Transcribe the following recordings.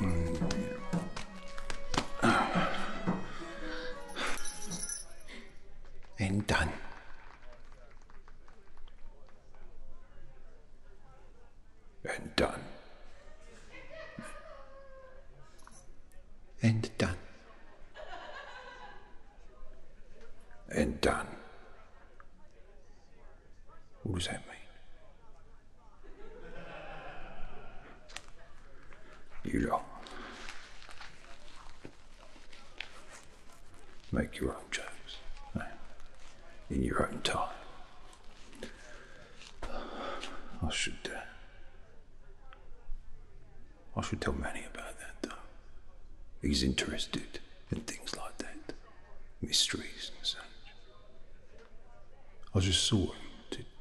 Mm. And done. And done. And done. And done. What does that mean? You lot. Make your own jokes in your own time. I should. Uh, I should tell Manny about that, though. He's interested in things like that mysteries and such. I just saw him.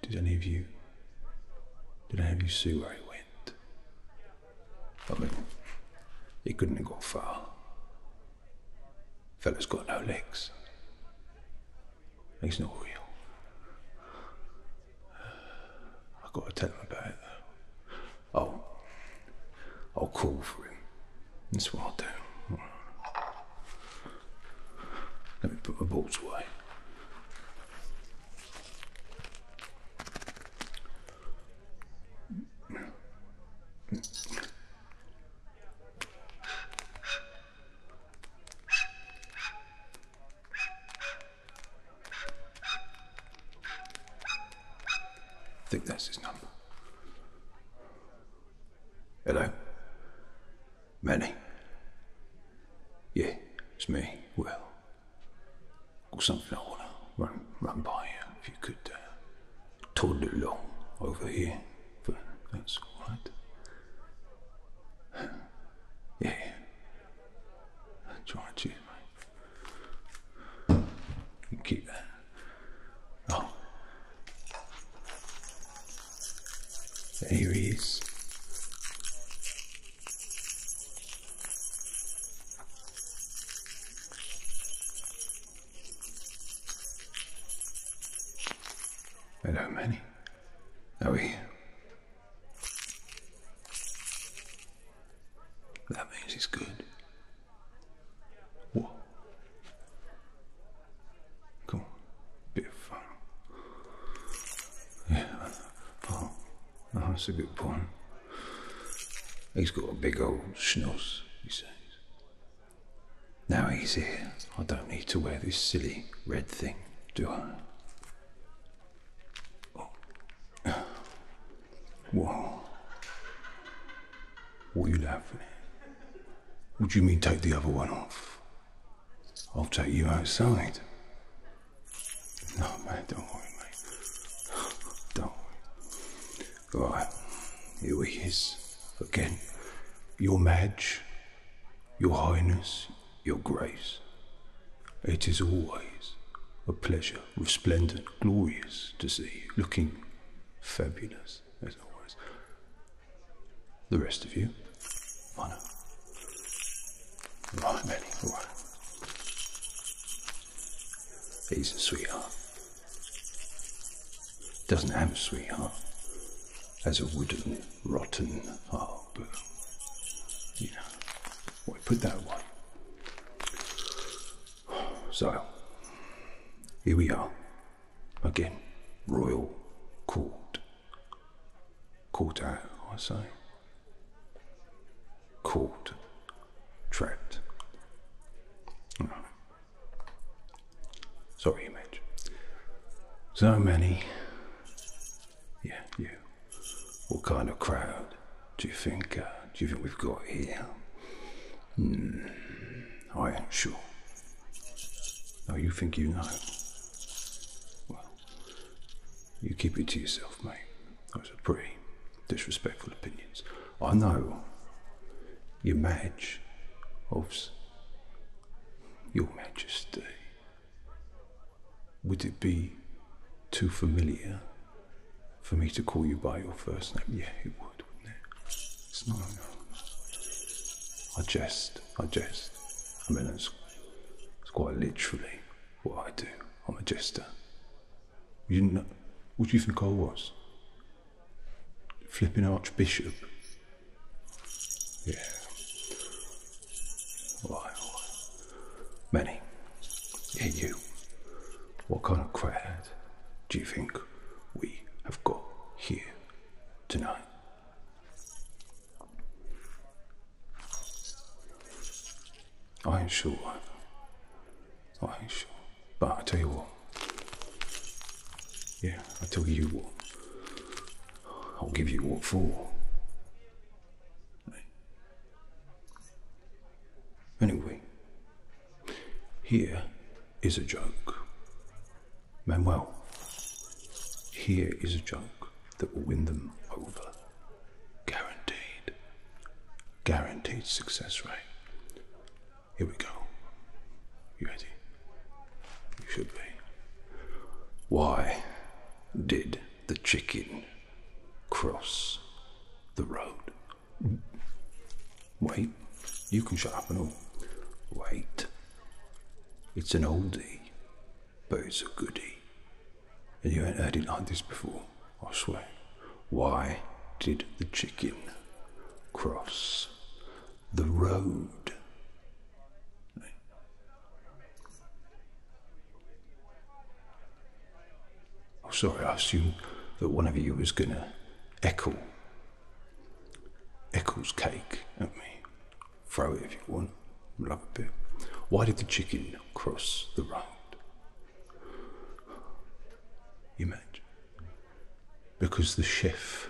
Did, any of you? Did any of you see where he went? I mean, he couldn't have gone far. Fella's got no legs. He's not real. I've got to tell him about it Oh, I'll oh, call for him. That's what I'll do. Let me put my boots away. I think that's his number. Hello? Manny? Yeah, it's me, Well, Got something I want to run, run by you. If you could uh, toddle along over here, but that's all right. yeah. Try and Keep that. Oh. There he is. There many. Are we? That means he's good. Whoa. Cool. Bit fun. Yeah. Oh, oh, that's a good point. He's got a big old schnoz, he says. Now he's here, I don't need to wear this silly red thing, do I? Oh. What? What are you laughing at? What do you mean take the other one off? I'll take you outside. No, man, don't worry, mate. Don't worry. Right, here he is. Again. Your Madge, Your Highness, Your Grace. It is always a pleasure resplendent, glorious to see, looking fabulous as always. The rest of you, Mana. Right, Benny, all right. He's a sweetheart. Doesn't have a sweetheart. Has a wooden, rotten heart, but, you know, well, put that one. So, here we are. Again, royal court. Court out, I say. Court. Trapped. Sorry, image. So many. Yeah, you. What kind of crowd do you think? Uh, do you think we've got here? Hmm. I ain't sure. Oh, you think you know. Well, you keep it to yourself, mate. Those are pretty disrespectful opinions. I know your match of your majesty. Would it be too familiar for me to call you by your first name. Yeah, it would, wouldn't it? It's I jest. I jest. I mean, it's, it's quite literally what I do. I'm a jester. You didn't know. What do you think I was? Flipping archbishop. Yeah. All right, Many. Yeah, you. What kind of crowd do you think we have got here tonight? I ain't sure. I ain't sure. But I tell you what. Yeah, I tell you what. I'll give you what for. Anyway, here is a joke. Manuel, here is a joke that will win them over. Guaranteed. Guaranteed success rate. Here we go. You ready? You should be. Why did the chicken cross the road. Wait, you can shut up and all. Wait. It's an oldie, but it's a goodie. And you ain't heard it like this before, I swear. Why did the chicken cross the road? Oh, sorry, I assumed that one of you was going to echo Eccles cake at me. Throw it if you want. Love a bit. Why did the chicken cross the road? You meant? Because the chef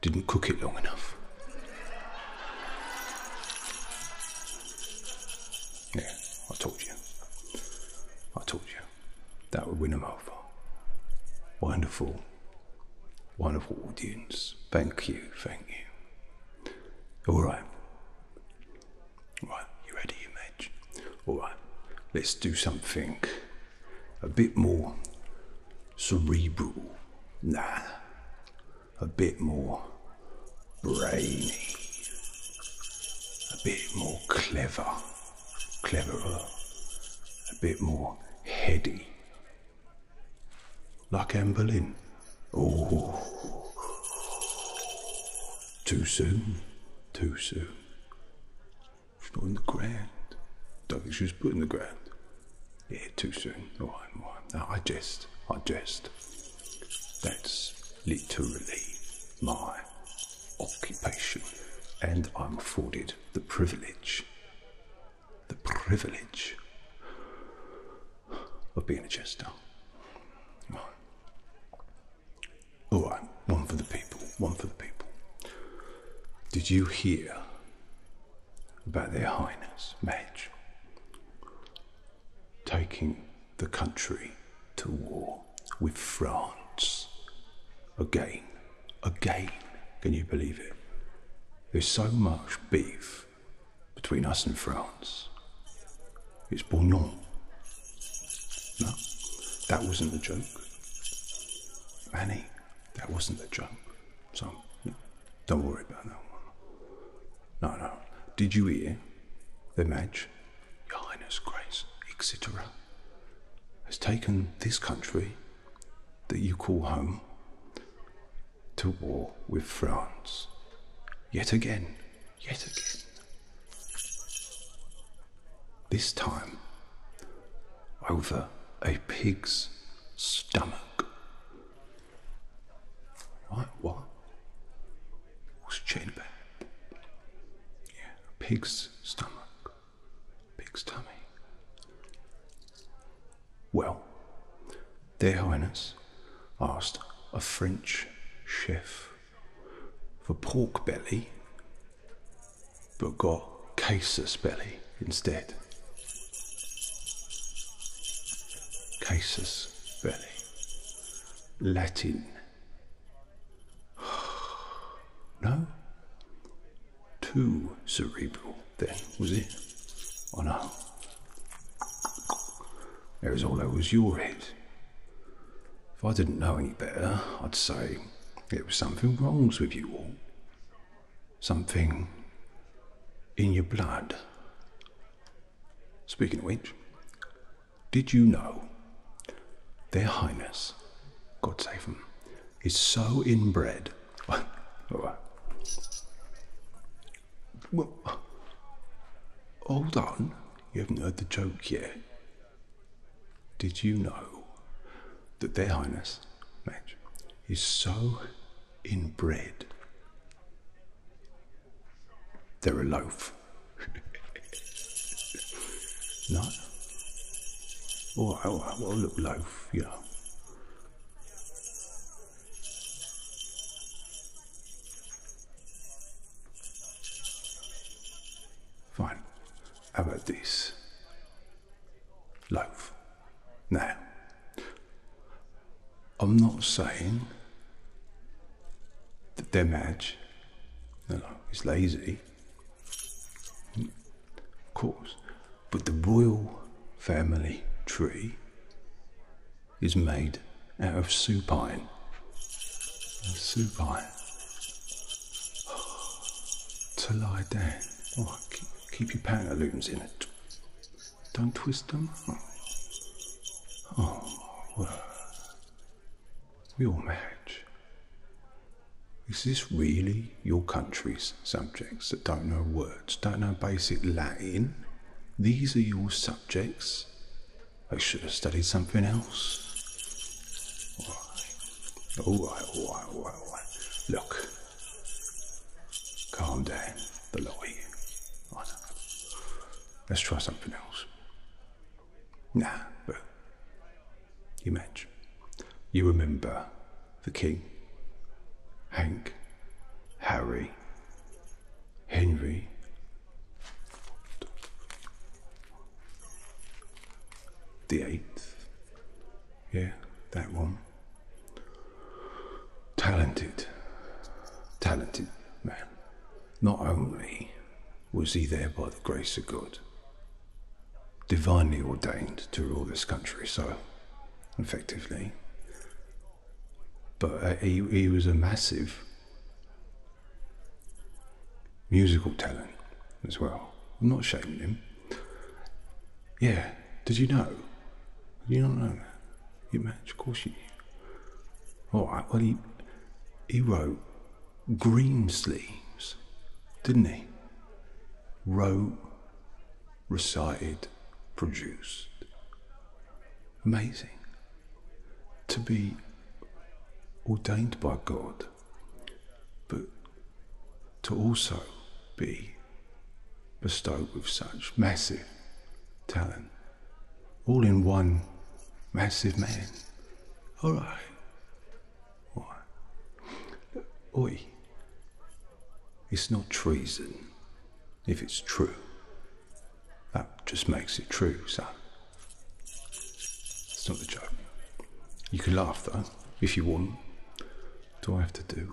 didn't cook it long enough. Yeah, I told you. I told you. That would win them over. Wonderful. Wonderful audience. Thank you, thank you. Alright. Right, you ready, mage? Alright, let's do something a bit more cerebral. Nah a bit more brainy, a bit more clever, cleverer, a bit more heady. Like Anne Boleyn. Oh, too soon, too soon. She's not in the ground. Don't think she was put in the ground. Yeah, too soon. All right, all right. Now I jest, I jest. That's literally my occupation, and I'm afforded the privilege, the privilege of being a jester. Right. All right, one for the people, one for the people. Did you hear about their highness, Madge? taking the country to war with France. Again, again, can you believe it? There's so much beef between us and France. It's Bournon. No, that wasn't a joke. Annie, that wasn't a joke. So, don't worry about that one. No, no. Did you hear the match? Your Highness Grace, etc., has taken this country that you call home to war with France. Yet again, yet again. This time, over a pig's stomach. What? What? What's chain bag? Yeah, pig's stomach. Pig's tummy. Well, their highness asked a French chef for pork belly, but got casus belly instead. Casus belly. Latin. No? Too cerebral then, was it? I oh, know. It was all over your head. If I didn't know any better, I'd say it was something wrong's with you all. Something in your blood. Speaking of which, did you know their highness, God save them, is so inbred? well, hold on, you haven't heard the joke yet. Did you know that their highness, Madge, is so inbred they're a loaf. no? Oh, alright, well, a little loaf, yeah. Fine. How about this? Loaf. No. I'm not saying that Demaj no, no, is lazy, of course, but the royal family tree is made out of supine. Supine. To lie down. Oh, keep, keep your pantaloons in it. Don't twist them. Oh, oh We all match. Is this really your country's subjects that don't know words, don't know basic Latin? These are your subjects? I should have studied something else. All right, all right, all right, all right. Look, Calm down, the lot oh, you. Let's try something else. Nah, but you match. You remember the king, Hank, Harry, Henry. The eighth. Yeah, that one. Talented, talented man. Not only was he there by the grace of God, divinely ordained to rule this country, so effectively, but uh, he, was a massive musical talent as well. I'm not shaming him. Yeah, did you know? Did you not know that? You match, of course you All right, well, he, he wrote green sleeves, didn't he? Wrote, recited, produced. Amazing. To be ordained by God, but to also be bestowed with such massive talent, all in one massive man. All right. All right. Oi. It's not treason if it's true. That just makes it true, son. It's not a joke. You can laugh though, if you want. What do I have to do?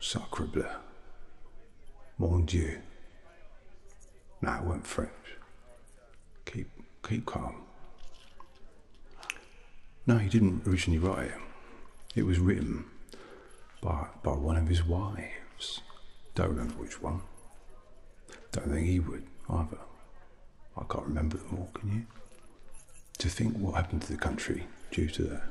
Sacre bleu. Mon Dieu. No, it went French. Keep, keep calm. No, he didn't originally write it. It was written by, by one of his wives. Don't remember which one. Don't think he would either. I can't remember them all, can you? to think what happened to the country due to that.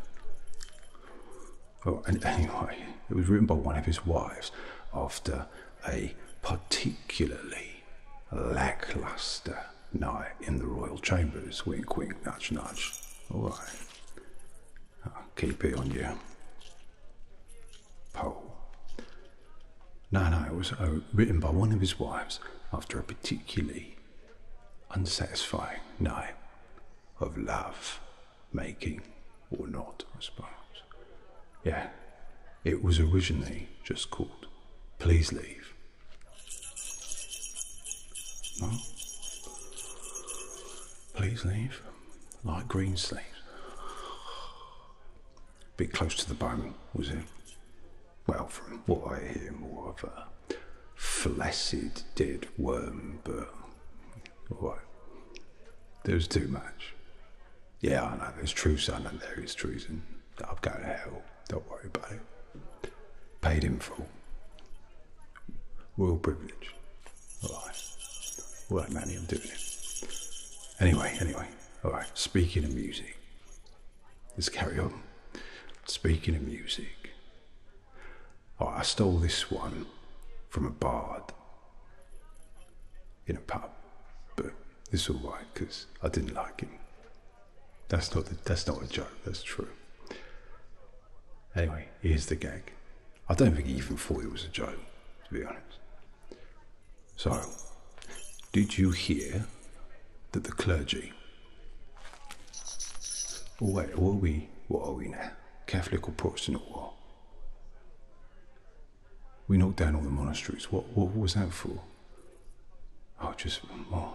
Oh, anyway, it was written by one of his wives after a particularly lackluster night in the royal chambers. Wink, wink, nudge, nudge. All right. I'll keep it on you. Poll. No, no, it was uh, written by one of his wives after a particularly unsatisfying, no, of love making or not, I suppose. Yeah, it was originally just called Please Leave. No? Please leave, like green sleeves. Bit close to the bone, was it? well, from what I hear, more of a flaccid dead worm, but what? There's too much. Yeah, I know, there's truth son and there is treason. i have gone to hell, don't worry about it. Paid in full. Royal privilege. Alright. All that I'm doing it. Anyway, anyway. Alright, speaking of music, Let's carry on. Speaking of music, oh, I stole this one from a bard in a pub, but it's all right because I didn't like him. That's not that's not a joke. That's true. Anyway, here's the gag. I don't think he even thought it was a joke, to be honest. So, did you hear that the clergy what are we? What are we now? Catholic or Protestant or what? We knocked down all the monasteries. What, what was that for? Oh, just my.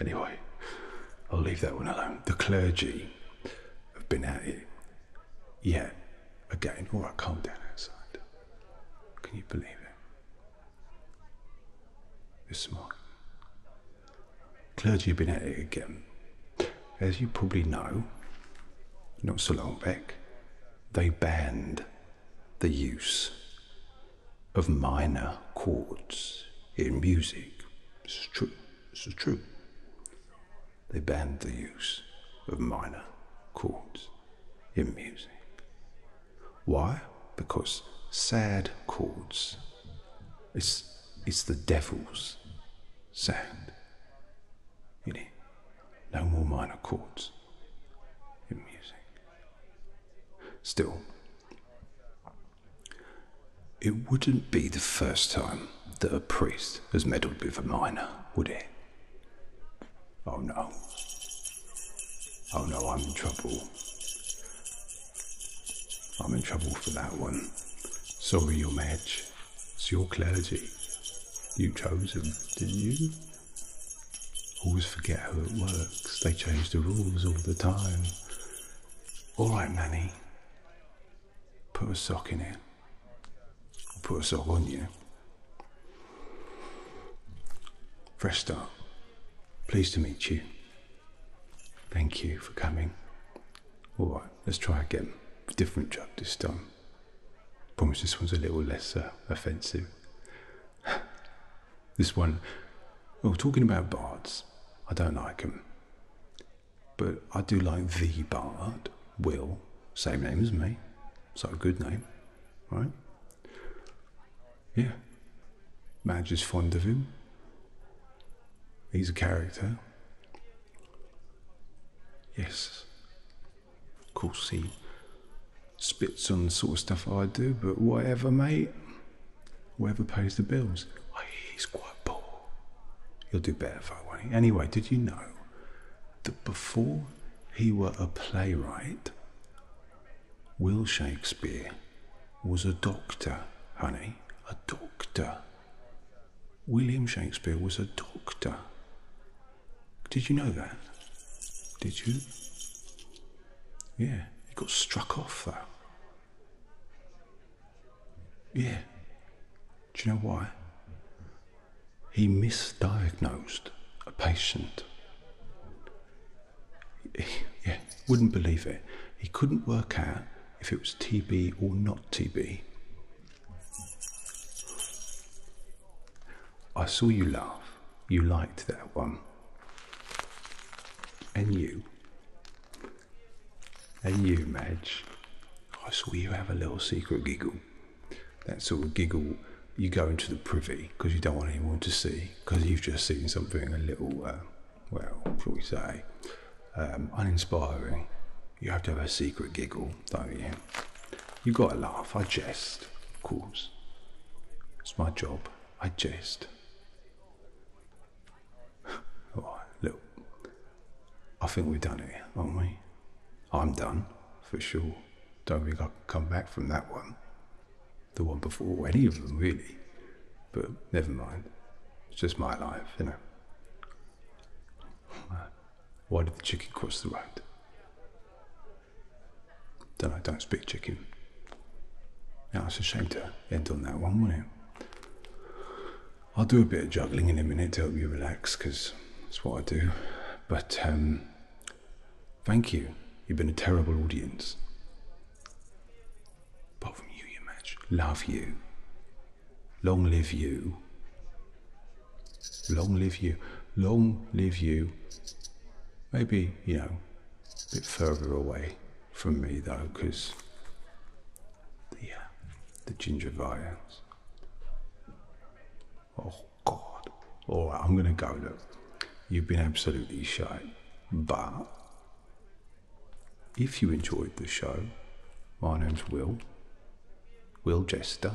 Anyway, I'll leave that one alone. The clergy have been at it. yet again. All right, calm down outside. Can you believe it? this morning. Clergy have been at it again. As you probably know, not so long back, they banned the use of minor chords in music. It's true. This is true. They banned the use of minor chords in music. Why? Because sad chords It's is the devil's sound. You know, no more minor chords in music. Still, it wouldn't be the first time that a priest has meddled with a minor, would it? Oh no. Oh no, I'm in trouble. I'm in trouble for that one. Sorry, your match. It's your clergy. You chose him, didn't you? Always forget how it works. They change the rules all the time. All right, Manny. Put a sock in it. I'll put a sock on you. Fresh start. Pleased to meet you. Thank you for coming. All right, let's try again. Different drug this time. Promise this one's a little less uh, offensive. this one, well, oh, talking about bards, I don't like them. But I do like the bard, Will, same name as me. So a good name, right? Yeah. Madge is fond of him. He's a character. Yes. Of course, he spits on the sort of stuff I do, but whatever, mate. Whoever pays the bills. he's quite poor. He'll do better for it, won't Anyway, did you know that before he were a playwright, Will Shakespeare was a doctor, honey, a doctor. William Shakespeare was a doctor. Did you know that? Did you? Yeah, he got struck off though. Yeah. Do you know why? he misdiagnosed a patient. yeah, wouldn't believe it. He couldn't work out if it was TB or not TB. I saw you laugh. You liked that one. And you. And you, Madge. I saw you have a little secret giggle that sort of giggle, you go into the privy because you don't want anyone to see because you've just seen something a little, uh, well, shall we say, um, uninspiring. You have to have a secret giggle, don't you? You gotta laugh. I jest, of course. It's my job. I jest. look. I think we've done it, aren't we? I'm done, for sure. Don't think I'll come back from that one. The one before, any of them really. But never mind. It's just my life, you know. Why did the chicken cross the road? Don't I don't speak chicken. Yeah, it's a shame to end on that one, wasn't it? I'll do a bit of juggling in a minute to help you relax, because that's what I do. But um, Thank you. You've been a terrible audience. Apart from you, you match. Love you. Long live you. Long live you. Long live you. Maybe, you know, a bit further away from me though, because the, uh, the ginger vials. Oh, God. All right, I'm going to go, look. You've been absolutely shite. But if you enjoyed the show, my name's Will. Will Jester.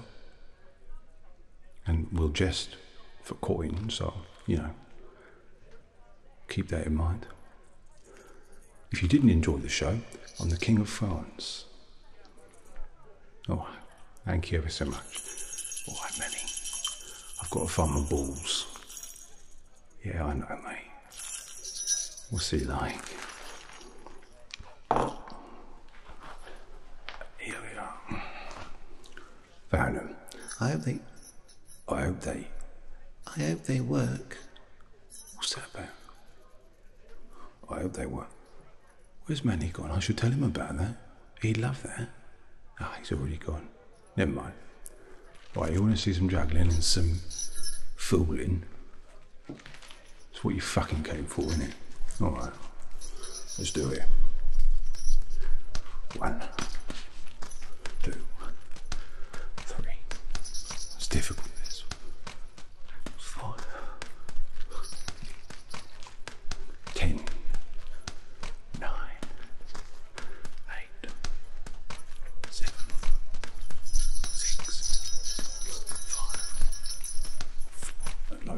And Will Jest for coin, so, you know, keep that in mind. If you didn't enjoy the show, I'm the King of France. Oh, thank you ever so much. All right, Melly. I've got to find my balls. Yeah, I know, mate. What's he like? Here we are. Found I hope they. I hope they. I hope they work. What's that about? I hope they were. Where's Manny gone? I should tell him about that. He'd love that. Ah, he's already gone. Never mind. Right, you want to see some juggling and some fooling? That's what you fucking came for, isn't it? Alright. Let's do it. One, two, three. It's difficult, this five, ten, nine, eight, seven, six, five, four,